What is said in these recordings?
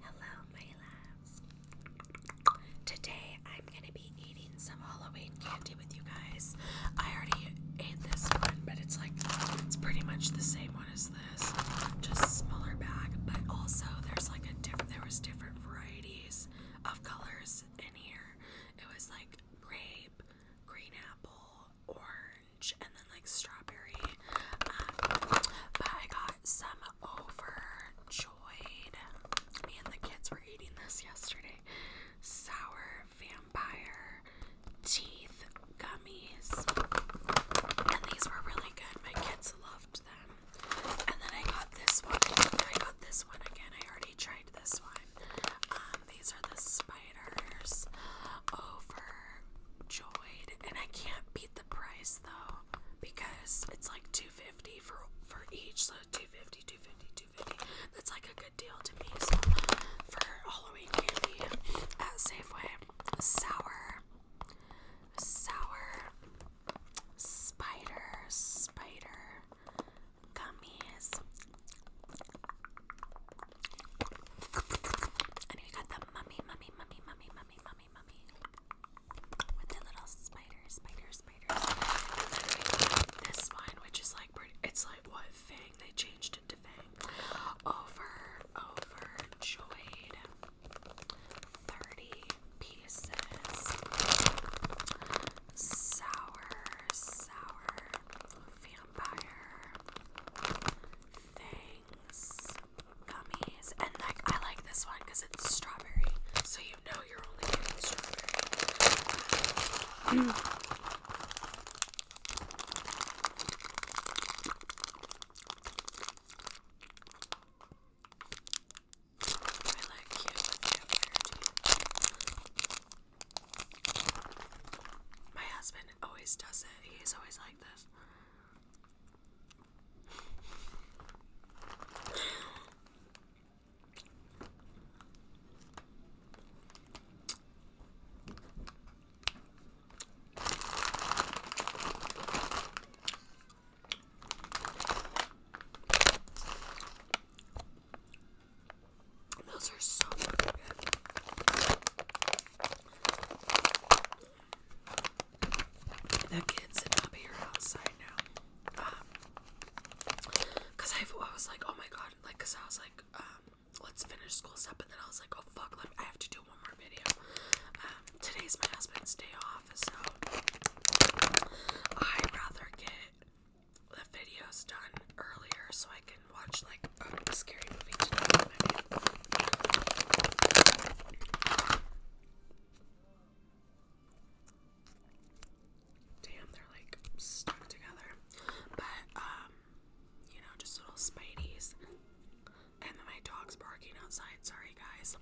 Hello, my loves. Today I'm gonna be eating some Halloween candy with you guys. I already ate this one, but it's like it's pretty much the same one as this, just smaller bag. But also there's like a different there was different varieties of colors in here. It was like grape, green apple, or and then like strawberry. Um, but I got some overjoyed. Me and the kids were eating this yesterday. Sour vampire teeth gummies. And these were really good. My kids loved them. And then I got this one. I got this one again. I already tried this one. Um, these are the spiders over overjoyed, and I can't beat the price though because it's like 250 for for each, so 250, 250, 250. That's like a good deal to me. So for Halloween candy at Safeway, sour, sour, spider, spider, gummies. And we got the mummy, mummy, mummy, mummy, mummy, mummy, mummy. With the little spider, spider, spider, This one, which is like pretty, it's like what? Fang? They changed it to Fang. Over, overjoyed. 30 pieces. Sour, sour, vampire things, gummies, and like I like this one because it's strawberry, so you know you're only getting strawberry. I like cute my husband always does it. He's always like this. Those are so good. That kid's sitting up here outside now. Um, cause I, I was like, oh my god, like, cause I was like, um, let's finish school stuff, and then I was like, oh fuck, I have to do one more video. Um, today's my husband's day off, so I'd rather get the videos done earlier so I can watch like a scary movie tonight. Damn, they're like stuck together. But um, you know, just little spideys. And my dog's barking outside. Sorry guys.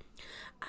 Um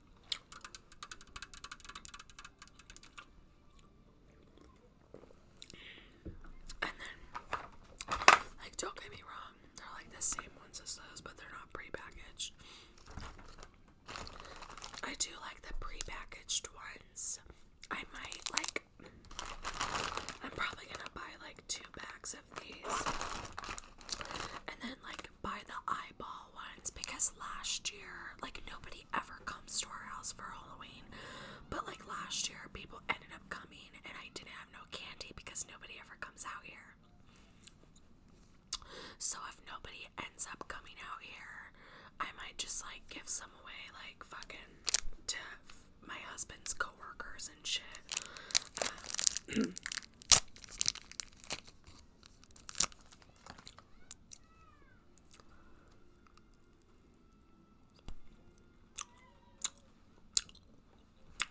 And then, like, don't get me wrong, they're like the same ones as those, but they're not prepackaged. I do like the prepackaged ones. I might, like, I'm probably gonna buy like two bags of these. And then, like, buy the eyeball ones because last year, like, nobody ever comes to our house for Halloween. But, like, last year, people ended up coming and I didn't have no candy because nobody ever comes out here. So, if nobody ends up coming out here, I might just, like, give some away, like, fucking to my husband's coworkers and shit. Um,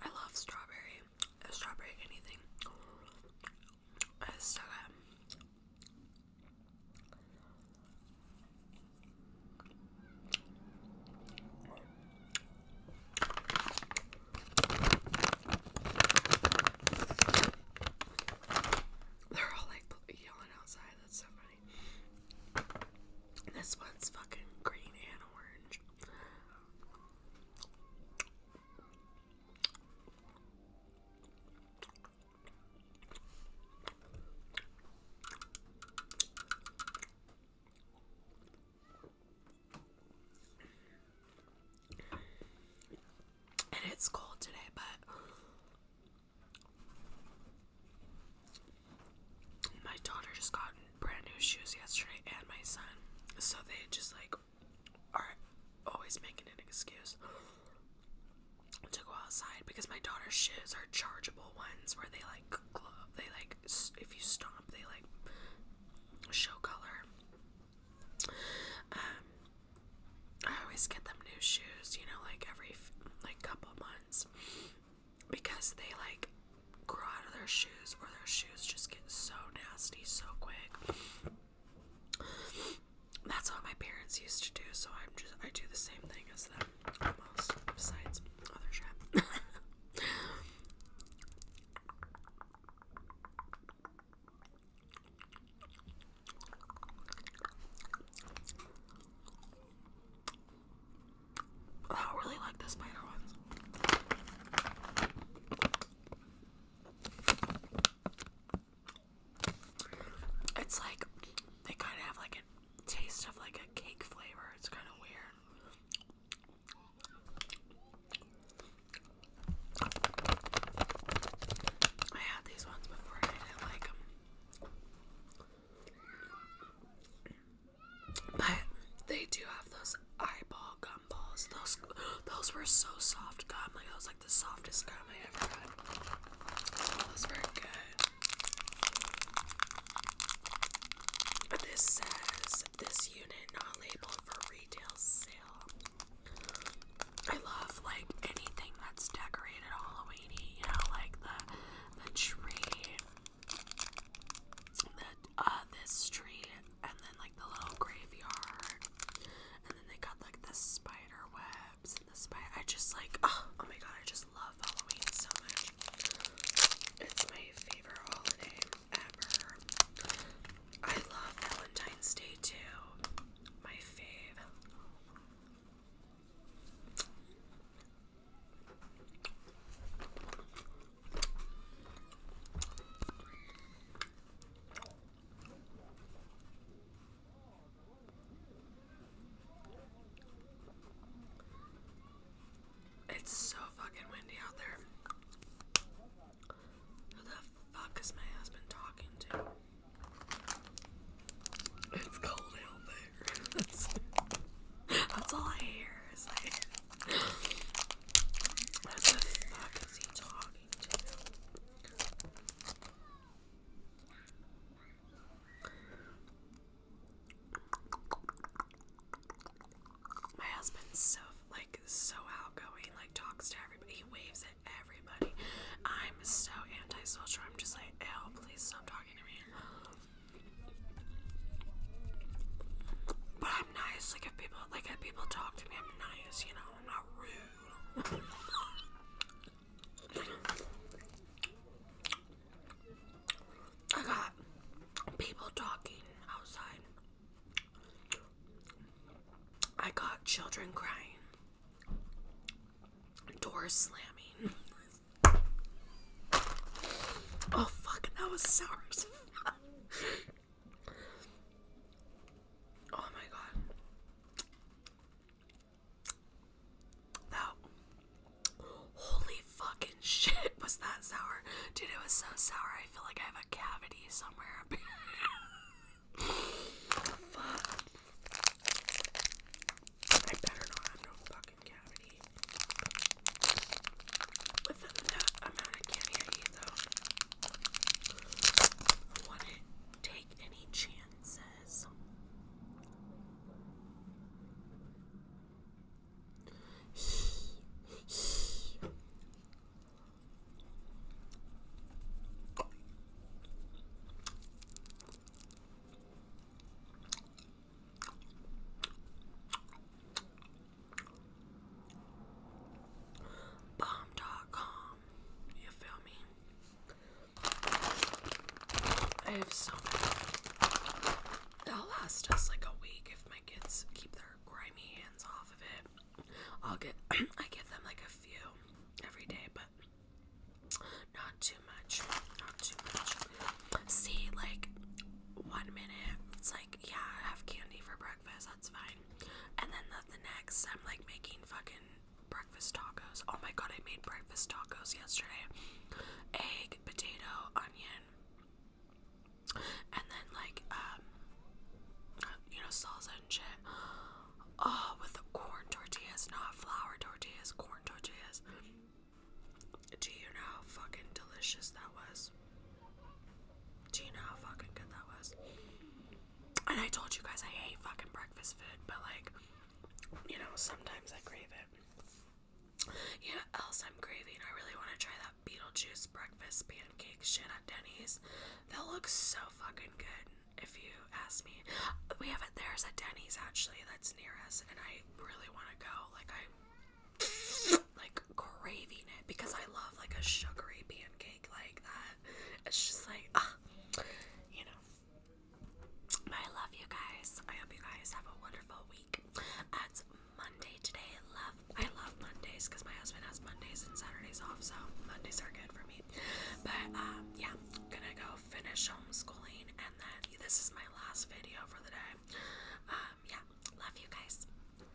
I love strawberry. Strawberry anything. It's so they're all like yelling outside. That's so funny. This one's fucking green and orange. And it's cold today, but my daughter just got brand new shoes yesterday, and my son. So they just like are always making an excuse to go outside because my daughter's shoes are chargeable ones where they like They like if you stop they like show color. Um, I always get them new shoes, you know, like every like couple months because they like grow out of their shoes or their shoes just get so nasty so quick. That's what my parents used to do, so I'm just I do the same thing as them besides other shrimp. Oh, I really like the spider ones. It's like they kind of have like an taste of like a cake flavor. It's kind of weird. I had these ones before I didn't like them. But they do have those eyeball gumballs. Those those were so soft gum. Like those, was like the softest gum I ever had. That was good. This says this unit not labeled for retail sale. I love like anything that's decorated Halloweeny, you know, like the the tree, the uh this tree, and then like the little graveyard, and then they got like the spider webs and the spider. I just like oh, oh my god, I just love Halloween so much. It's my favorite holiday ever. I love Valentine's Day too. My fave. It's so fucking windy out there. Who the fuck is my husband talking to? It's cold out there. That's, all I hear. Is like, what the fuck is he talking to? My husband's so like so outgoing, like talks to everybody. He waves at everybody. I'm so antisocial. I'm just like, oh, please stop talking to me. But I'm nice. Like if people like if people talk to me, I'm nice. You know, I'm not rude. I got people talking outside. I got children crying, doors slamming. oh, fuck, that was sour Oh my god. That holy fucking shit was that sour. Dude, it was so sour. I feel like I have a cavity somewhere up here. Fuck. I better not have no fucking cavity. With that amount of candy though. I wouldn't take any chance says Bomb.com, you feel me? I have so many. They'll last us like a week if my kids keep their grimy hands off of it. I'll get, I give them like a few every day, but not too much. Not too much. See, like, one minute, it's like, yeah, I have candy for breakfast that's fine. And then the, next, I'm like making fucking breakfast tacos. Oh my god, I made breakfast tacos yesterday. Egg, potato, onion, and then like um, you know salsa and shit. Oh, with the corn tortillas, not flour tortillas, corn tortillas. Do you know how fucking delicious that was? Do you know how fucking good that was? And I told you guys I hate fucking breakfast food, but like, you know, sometimes I crave it. You know, else I'm craving. I really want to try that Beetlejuice breakfast pancakes shit at Denny's. That looks so fucking good, if you ask me. We have it there's a Denny's actually that's near us, and I really want to go. Like I, like craving it because I love like a sugary pancake like that. It's just like, ah, you know. I love you guys. I hope you guys have a wonderful week. It's Monday today. love I love Mondays because my husband has Mondays and Saturdays off, so Mondays are good for me. But um, yeah, I'm gonna go finish homeschooling and then this is my last video for the day. Um, yeah, love you guys.